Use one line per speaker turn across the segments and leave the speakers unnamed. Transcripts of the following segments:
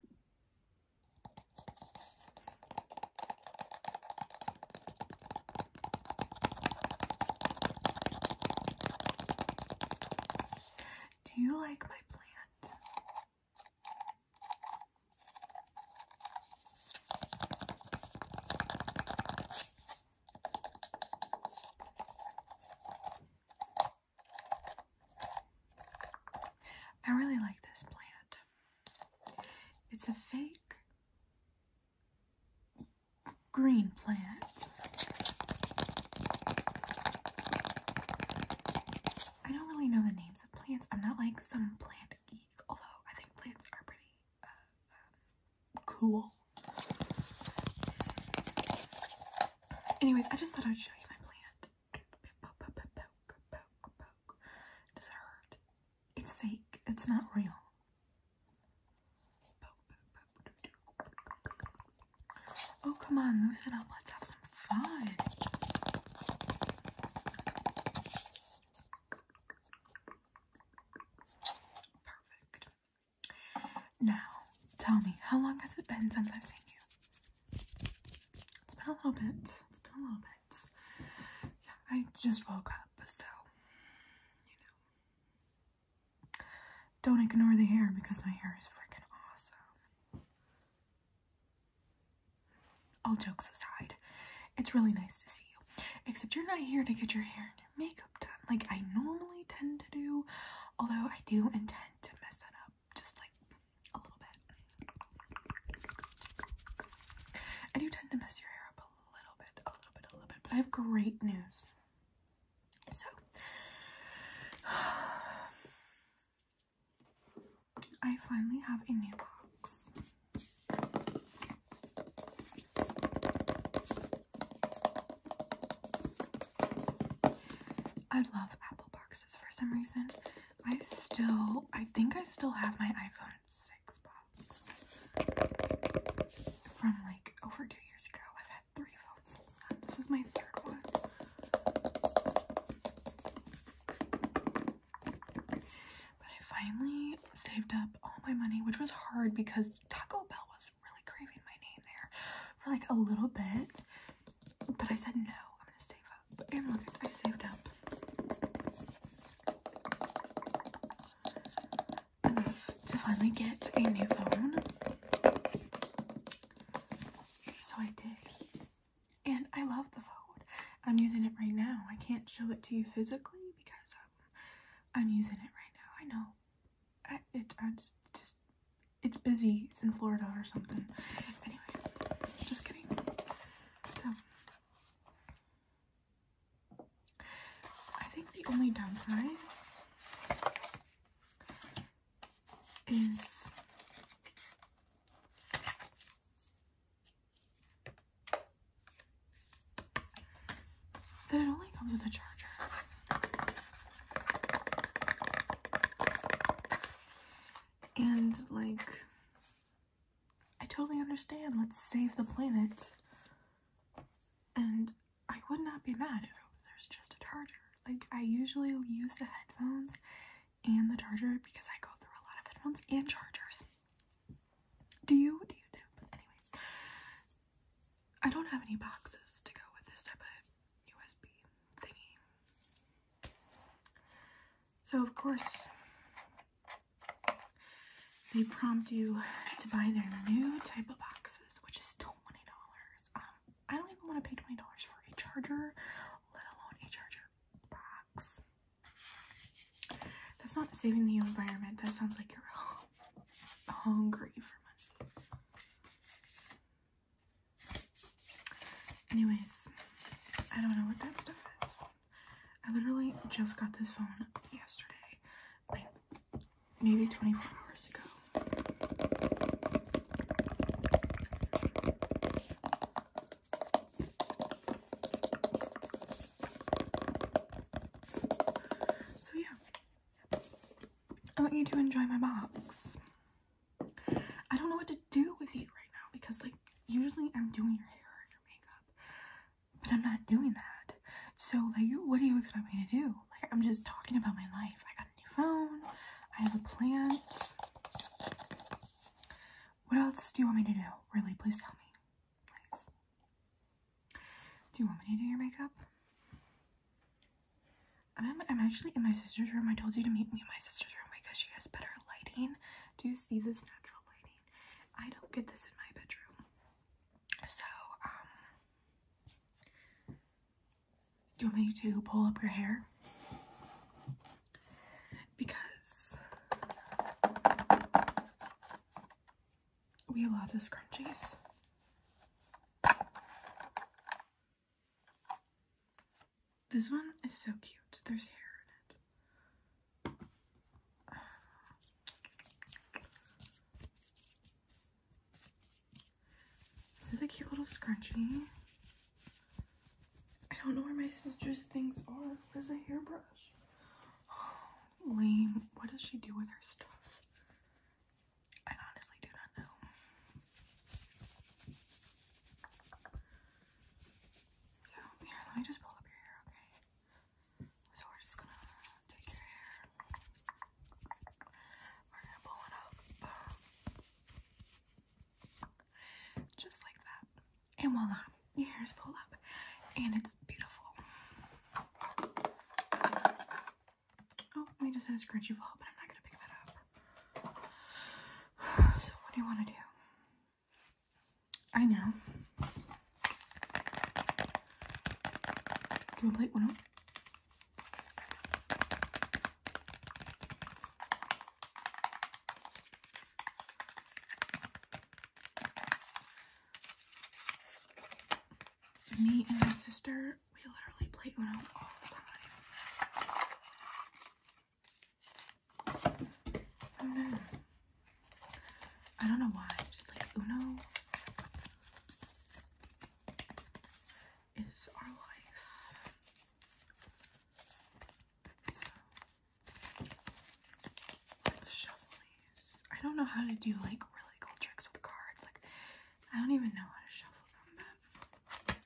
Do you like my plant? I really like this plant. It's a fake green plant. I don't really know the names of plants. I'm not like some plant geek, although I think plants are pretty uh, um, cool. Anyways, I just thought I'd show you my plant. Does it hurt? It's fake. It's not real. Oh, come on, loosen up. Let's have some fun. Now, tell me, how long has it been since I've seen you? It's been a little bit. It's been a little bit. Yeah, I just woke up, so you know. Don't ignore the hair because my hair is freaking awesome. All jokes aside, it's really nice to see you. Except you're not here to get your hair and your makeup done like I normally tend to do, although I do intend to mess that up up just like a little bit. And you tend to mess your hair up a little bit, a little bit, a little bit. But I have great news. So, I finally have a new box. I love Apple boxes for some reason. I still, I think I still have my iPhone 6 box from like over two years ago. I've had three phones since then. This was my third one. But I finally saved up all my money, which was hard because Taco Bell was really craving my name there for like a little bit, but I said no, I'm gonna save up. And look, I saved up. Enough to finally get a new phone. So I did. And I love the phone. I'm using it right now. I can't show it to you physically because I'm using it right now. I know it, I it's busy. It's in Florida or something. Anyway, just kidding. So, I think the only downside is that it only comes with a charger. And like, I totally understand. Let's save the planet. And I would not be mad if there's just a charger. Like, I usually use the headphones and the charger because I go through a lot of headphones and chargers. Do you? Do you do? But anyways, I don't have any boxes to go with this type of USB thingy. So, of course, they prompt you to buy their new type of boxes, which is $20. Um, I don't even want to pay $20 for a charger, let alone a charger box. That's not saving the environment. That sounds like your home hungry for money. Anyways, I don't know what that stuff is. I literally just got this phone yesterday, like maybe 24 hours ago. So yeah, I want you to enjoy my box. I don't know what to do with you right now because, like, usually I'm doing your hair or your makeup, but I'm not doing that. So, like, what do you expect me to do? Like, I'm just talking about my life. I got a new phone, I have a plan. What else do you want me to do? Really, please tell me. Do you want me to do your makeup? I'm, I'm actually in my sister's room. I told you to meet me in my sister's room because she has better lighting. Do you see this natural lighting? I don't get this in my bedroom. So, um, do you want me to pull up your hair? Because we have lots of scrunchies. This one is so cute. There's hair in it. This is a cute little scrunchie. I don't know where my sister's things are. There's a hairbrush. Lane, what does she do with her stuff? I honestly do not know. So, here, let me just pull up your hair, okay? So, we're just gonna take your hair, we're gonna pull it up just like that, and voila, your hair is pulled up, and it's beautiful. Oh, we just had a scratchy wall, but I'm not gonna pick that up. So what do you wanna do? I know. Do you play Uno? me and my sister, we literally play Uno all the time. And then, I don't know why, just like Uno is our life. Let's shuffle these. I don't know how to do like really cool tricks with cards. Like, I don't even know how to shuffle them,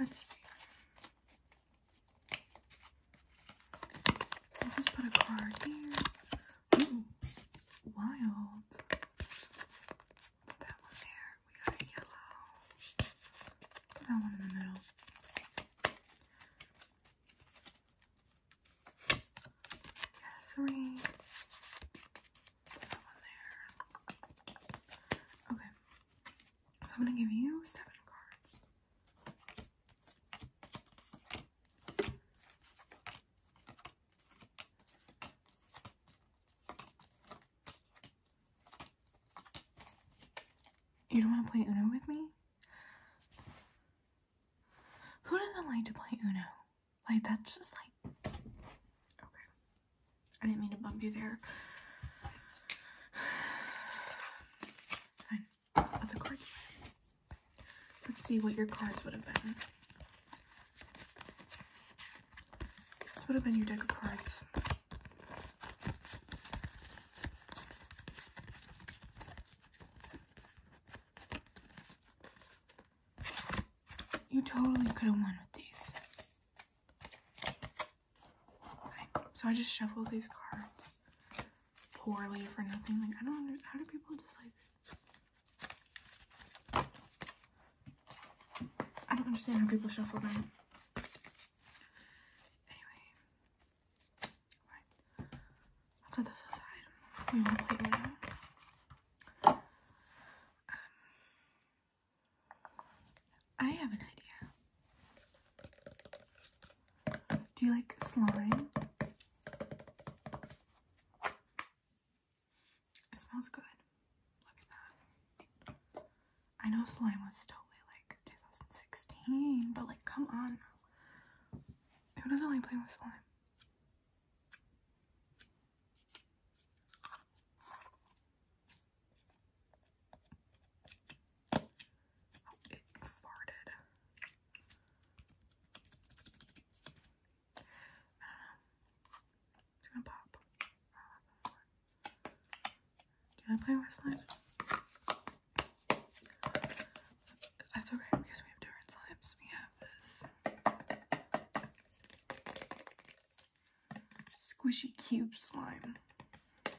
Let's see. So just put a card here. Ooh, wild. Put that one there. We got a yellow. Put that one in the middle. Three. Put that one there. Okay. I'm gonna give you seven cards. You don't want to play Uno with me? Who doesn't like to play Uno? Like, that's just like... Okay. I didn't mean to bump you there. of the Let's see what your cards would have been. This would have been your deck of cards. You totally could have won with these so I just shuffle these cards poorly for nothing. Like, I don't understand. How do people just, like... I don't understand how people shuffle them. Anyway. Right. I'll set this aside. We will play later. Um, I have an idea. Do you like slime? It smells good. Look at that. I know slime was totally like 2016, but like, come on. Who doesn't like playing with slime? it farted. It's gonna pop. Oh, I play with That's okay because we have different slimes. We have this squishy cube slime.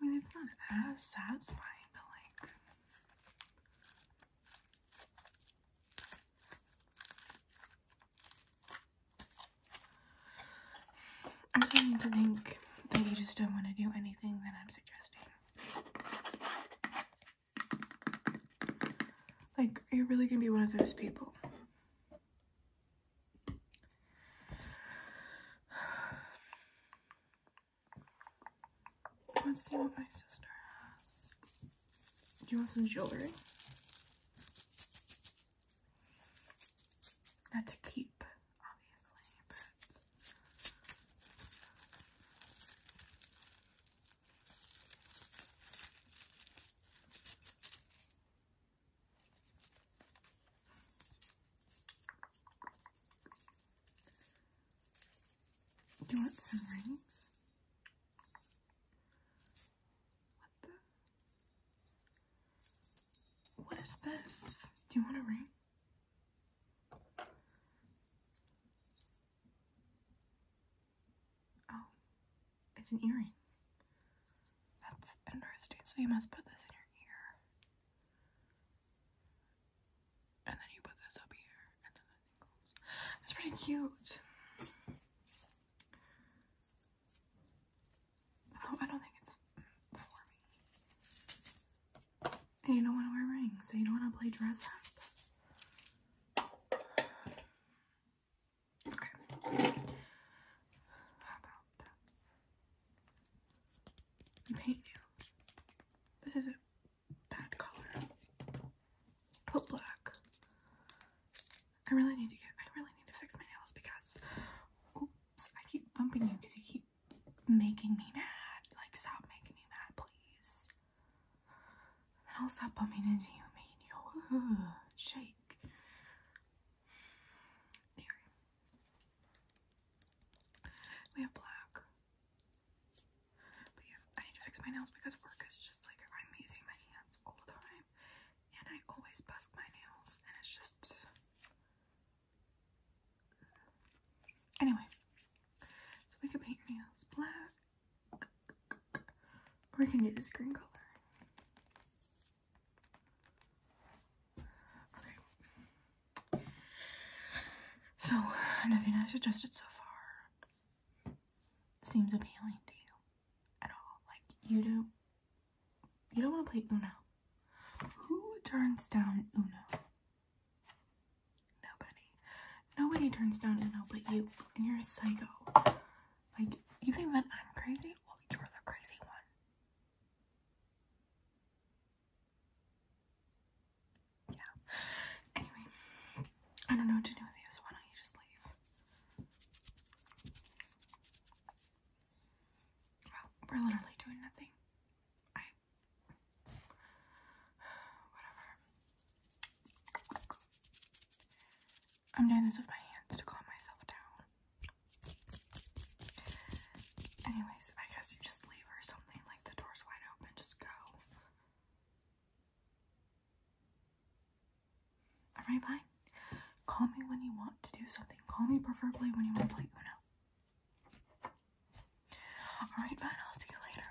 I mean, it's not as satisfying, but like. I'm starting to think that you just don't want to do anything that I'm suggesting. Like, are you really gonna be one of those people Let's see what my sister has. Do you want some jewelry? Not to keep, obviously, do you want some rings? What the? What is this? Do you want a ring? Oh, it's an earring. That's interesting. So you must put this in your ear. And then you put this up here. And then that goes. It's pretty cute. Although I don't think it's for me. you don't want to wear rings, so you don't want to play dress up. Okay. How about that? This is a bad color. Put black. I really need to get. I really need to fix my nails because. I keep bumping you because you keep making me mad. Like, stop making me mad, please then I'll start bumping into you, making you go Ugh, shake. we have black, but yeah, I need to fix my nails because work is just like I'm using my hands all the time, and I always bust my nails, and it's just. Anyway, we can paint your nails black. Or I can do this green color. Okay. So, nothing I suggested so far seems appealing to you at all. Like, you don't, you don't want to play Uno. Who turns down Uno? Nobody. Nobody turns down Uno but you, and you're a psycho. Like, you think that I'm crazy? Well, you're the crazy one. Yeah. Anyway, I don't know what to do with you, why don't you just leave? Well, we're literally doing nothing. I. Whatever. I'm doing this with my hands to calm myself down. Anyways, I guess you just leave her something like the door's wide open, just go. Alright, fine. Call me when you want to do something. Call me preferably when you want to play Uno. Alright, fine, I'll see you later.